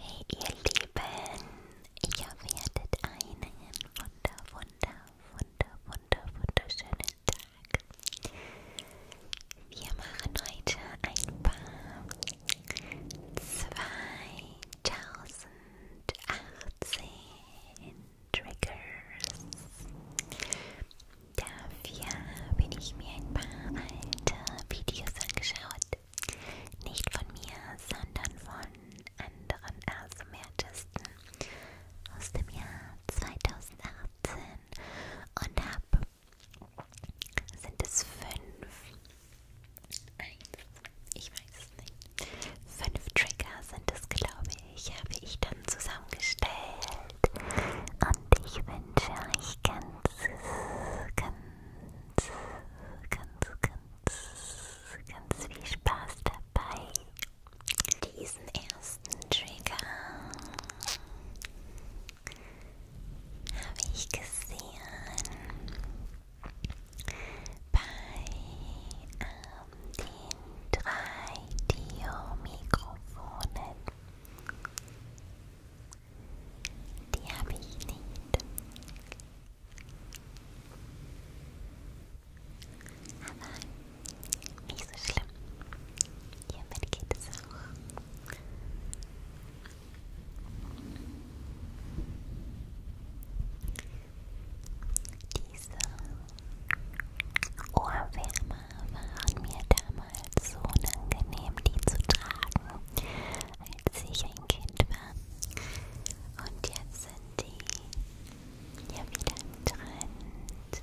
Hey ihr Lieben, ich hoffe ihr hattet einen wunder, wunder, wunder, wunder, wunderschönen Tag. Wir machen heute ein paar 2018 Triggers. Dafür bin ich mir ein paar alte Videos angeschaut nicht von mir, sondern von anderen ASMR-Artisten aus dem Jahr 2018 und ab sind es fünf. Eins, ich weiß es nicht. Fünf Trigger sind es, glaube ich, habe ich dann zusammengestellt. Und ich wünsche euch ganz, ganz ganz, ganz, ganz viel Spaß dabei, diesen ersten Trigger habe ich gesehen bei ähm, den drei Dio-Mikrofonen. Die habe ich nicht. Aber nicht so schlimm. Hiermit geht es auch. Diese Ohrwärmer waren mir damals so unangenehm, die zu tragen, als ich ein Kind war. Und jetzt sind die ja wieder im Trend.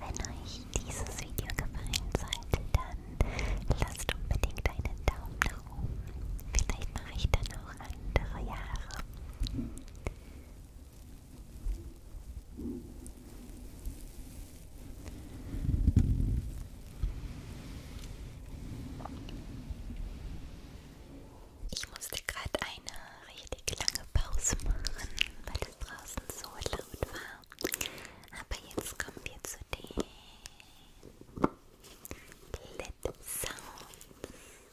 Wenn euch dieses Video gefallen sollte, dann lasst unbedingt einen Daumen nach oben. Vielleicht mache ich dann auch andere Jahre. Ich musste gerade eine richtig lange Pause machen, weil es draußen so laut gut war. Aber jetzt kommen wir zu den Blitz-Sounds. Hm.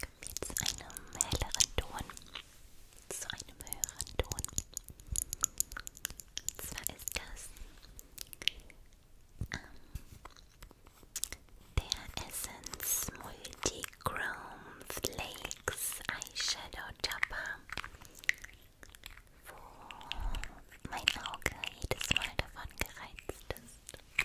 Kommt jetzt einem helleren Ton zu einem höheren Ton. Und zwar ist das ähm, der Essence Multichrome Flakes Eyeshadow Topper, wo mein Auge jedes Mal davon gereizt ist.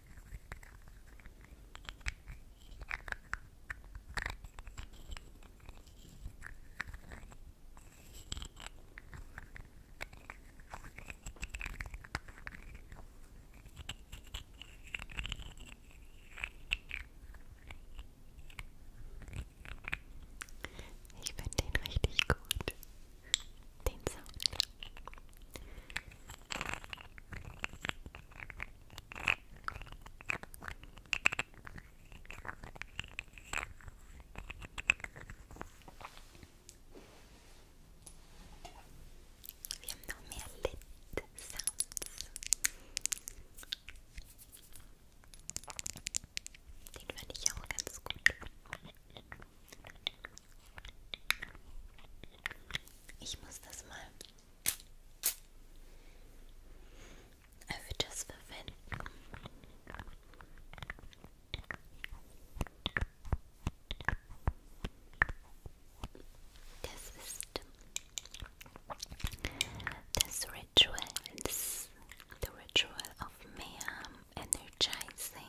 Ich finde den richtig gut. Den Sound. Wir haben noch mehr Lit Sounds. Den fand ich auch ganz gut. Ich muss das mal Over just for This is the, this ritual is the ritual of Mayam um, energizing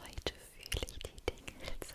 Heute fühle ich die dingen jetzt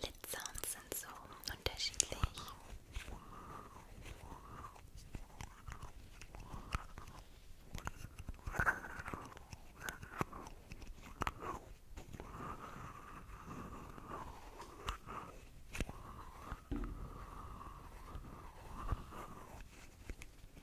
Lid-Sounds sind so unterschiedlich.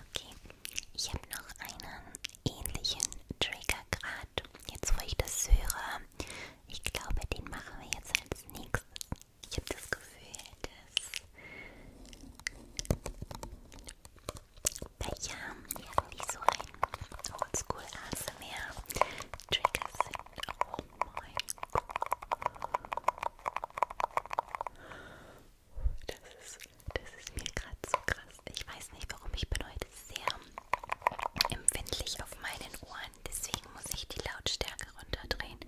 Okay, ich habe noch einen ähnlichen Trigger ja gerade, jetzt wo ich das höre, ich glaube, den machen wir jetzt als nächstes. Ich habe das Gefühl, dass Becher irgendwie so ein Oldschool ASMR Trigger sind. Oh mein Gott. Das ist das ist mir gerade so krass. Ich weiß nicht warum, ich bin heute sehr empfindlich auf meinen Ohren. Deswegen muss ich die Lautstärke runterdrehen.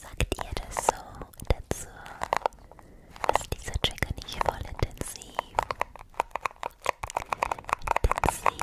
Sagt ihr das so dazu? Ist dieser Trigger nicht voll intensiv? Intensiv.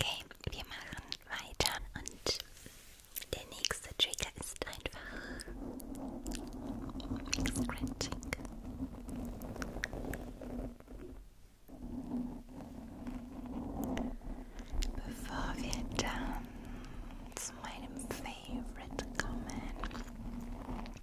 Okay, wir machen weiter und der nächste Trigger ist einfach Scratching. Bevor wir dann zu meinem Favorite kommen,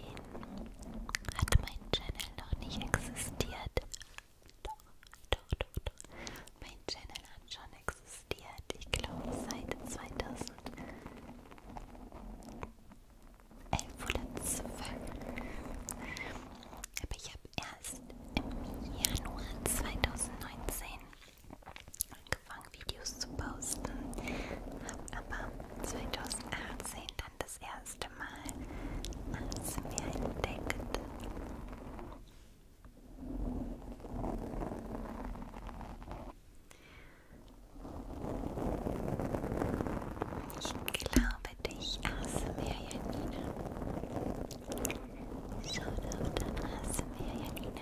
Nein, hat mein Channel noch nicht existiert. Doch, doch, doch, doch. Mein Channel hat schon existiert. Ich glaube seit 2011 oder 12. Aber ich habe erst im Januar 2019 angefangen, Videos zu posten, habe aber 2018 dann das erste Mal ASMR entdeckt. Ich glaube dich, ASMR Janina. Schaut auf dein ASMR Janina.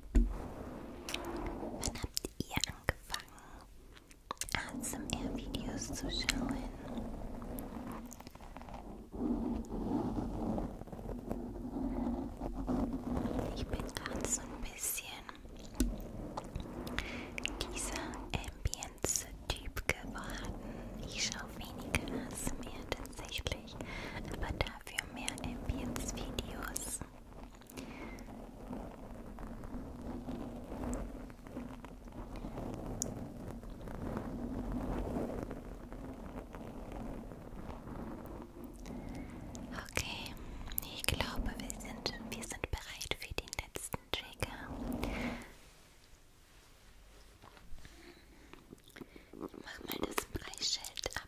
Wann habt ihr angefangen, ASMR-Videos zu schauen? Ich bin gerade so ein bisschen dieser Ambience-Typ geworden. Ich schaue weniger ASMR tatsächlich, aber da sehr für mehr Ambience-Videos. Okay, ich glaube, wir sind, wir sind bereit für den letzten Trigger. Ich mach mal das Preisschild ab.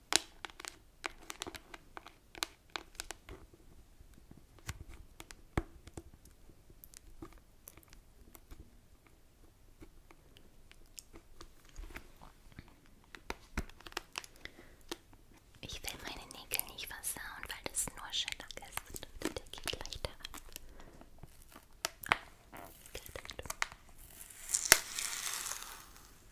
Ich will meine Nägel nicht versauen, weil das nur Shellac ist. Der geht leichter ab. Ah, geht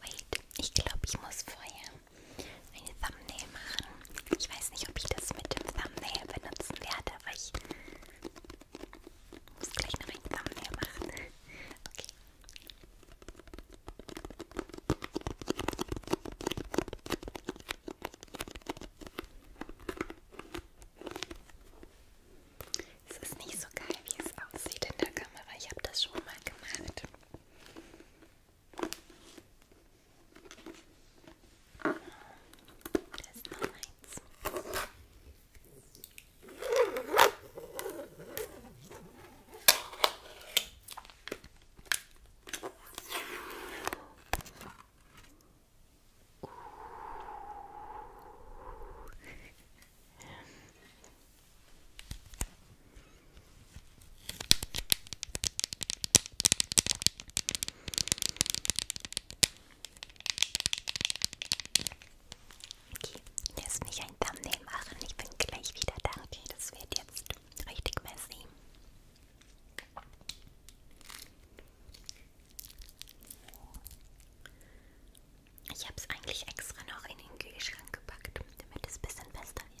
Wait, ich glaube, ich muss vorher eine Thumbnail machen. Ich weiß nicht, ob ich das mit dem Thumbnail benutzen werde, aber ich muss gleich noch ein Thumbnail machen. Okay. Es ist nicht so geil, wie es aussieht in der Kamera. Ich habe das schon mal gemacht. Da ist noch eins. Okay, lass mich ein Thumbnail machen. Ich bin gleich wieder da. Okay, das wird jetzt richtig messy. Ich habe es eigentlich extra noch in den Kühlschrank gepackt, damit es ein bisschen fester wird.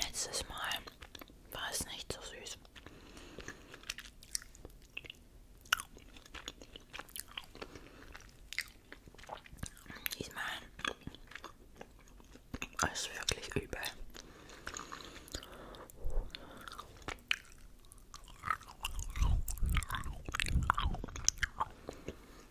Letztes Mal war es nicht so süß. Diesmal ist wirklich übel.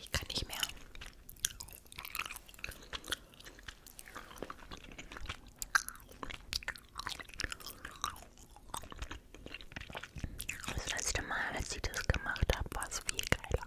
Ich kann nicht mehr. Das letzte Mal, als ich das gemacht habe, war es viel geiler.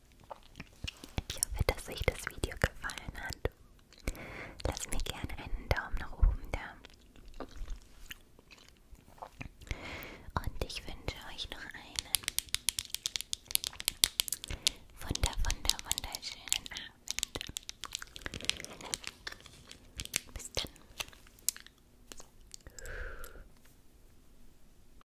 Ich hoffe, dass euch das Video gefallen hat. Lasst mir gerne einen Daumen nach oben da. Und ich wünsche euch noch einen wunder, wunder, wunderschönen Abend. Bis dann.